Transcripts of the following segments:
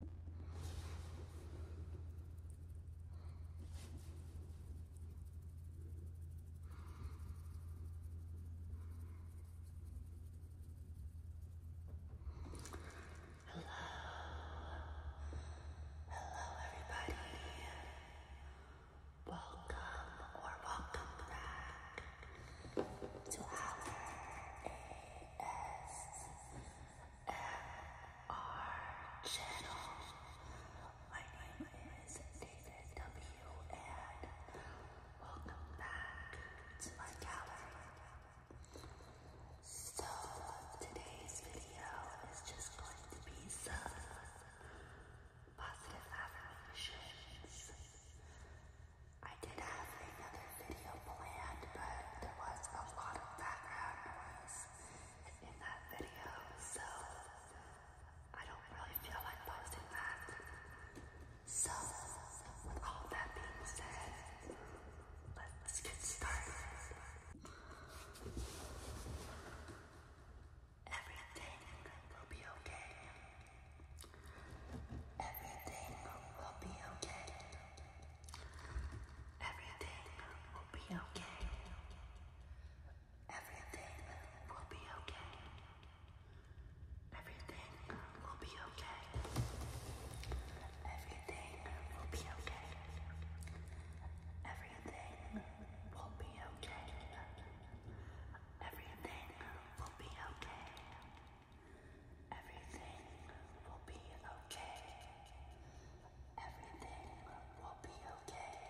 Hello, everybody. Welcome or welcome back to our ASMR channel. My name is David W. and welcome back to my gallery. So today's video is just going to be some positive affirmations. I did have another video planned, but there was a lot of background noise in that video, so I don't really feel like posting that. So, with all that being said, let's get started. Everything will be okay. Everything will be okay. Everything will be okay. Everything will be okay. Everything will be okay. Everything will be okay. Everything will be okay. Everything will be okay. Everything will be okay. Everything will be okay. Everything will be okay.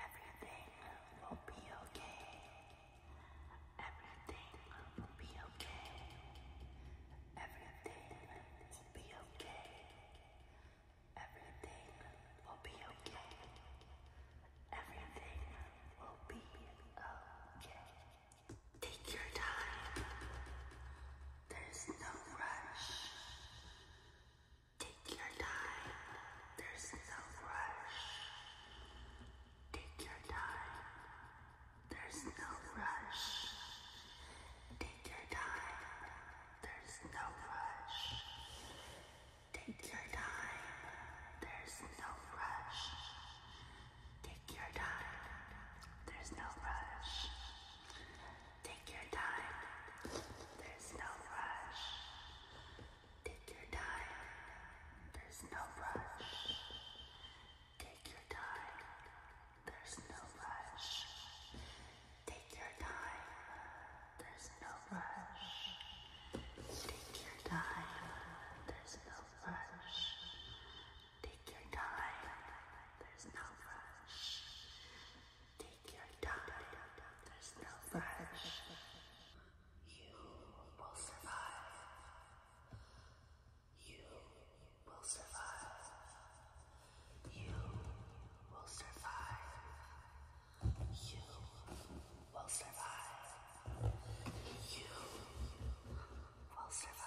Everything will be okay. Everything will be okay. Everything will be okay. Everything will be okay. Everything will be okay. Take your time. There's no rush. Take your time. There's no rush. Take your time. There's no rush. Take your time. There's no rush. Take your time. There's no rush. Take your time. There's no rush. Take your time. There's no rush. Take your time. There's no rush. Take your time. There's no rush. Take your time. There's no rush. Take your time. There's no rush. Take your time. There's no rush. Take your time. There's no rush. You will survive. You will survive. You will survive. You will survive. You will survive.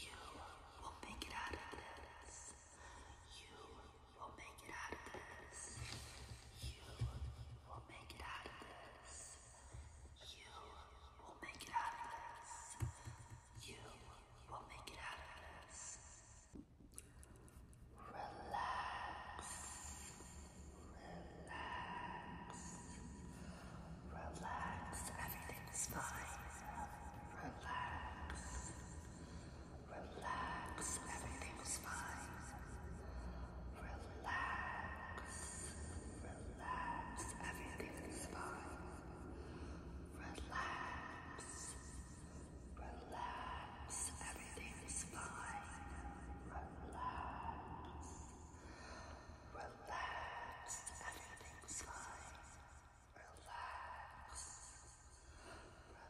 You will make it out of this. You will make it out of this. You will make it out of this. You will make it out of this. You will make it out of this. Relax. Relax. Relax, everything's fine. Relax. Relax, everything's fine. Relax. Relax, everything's fine. Relax. Relax, everything's fine. Relax. Relax, everything's fine. Relax.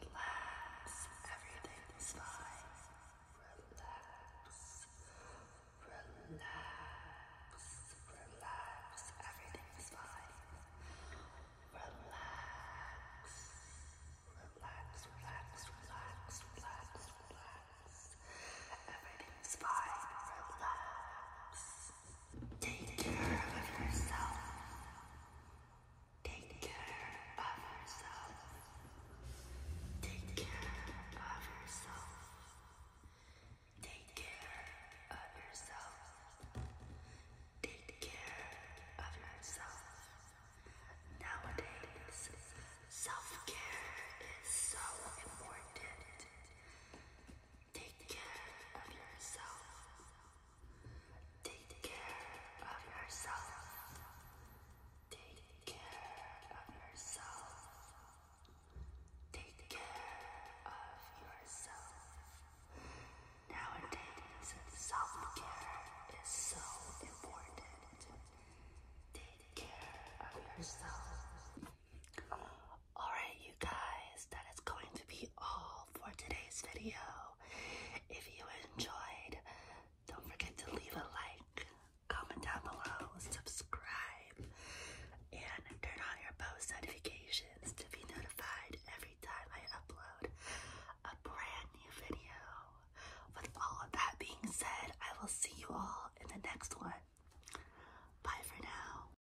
Relax. Everything is fine. Relax. Relax. Relax. Everything is fine. Relax. Relax. Relax. Relax. Relax. Relax. Everything is fine. Relax. Take care of yourself. Take care of yourself. Take care of yourself. Take care of yourself. Take care of yourself. Nowadays, self care is so important. Take care of yourself. Take care of yourself. Take care of yourself. Take care of yourself. Nowadays, self care is so important. Take care of yourself. Alright, you guys, that is going to be all for today's video. If you enjoyed, don't forget to leave a like, comment down below, subscribe, and turn on your post notifications to be notified every time I upload a brand new video. With all of that being said, I will see you all in the next one. Bye for now.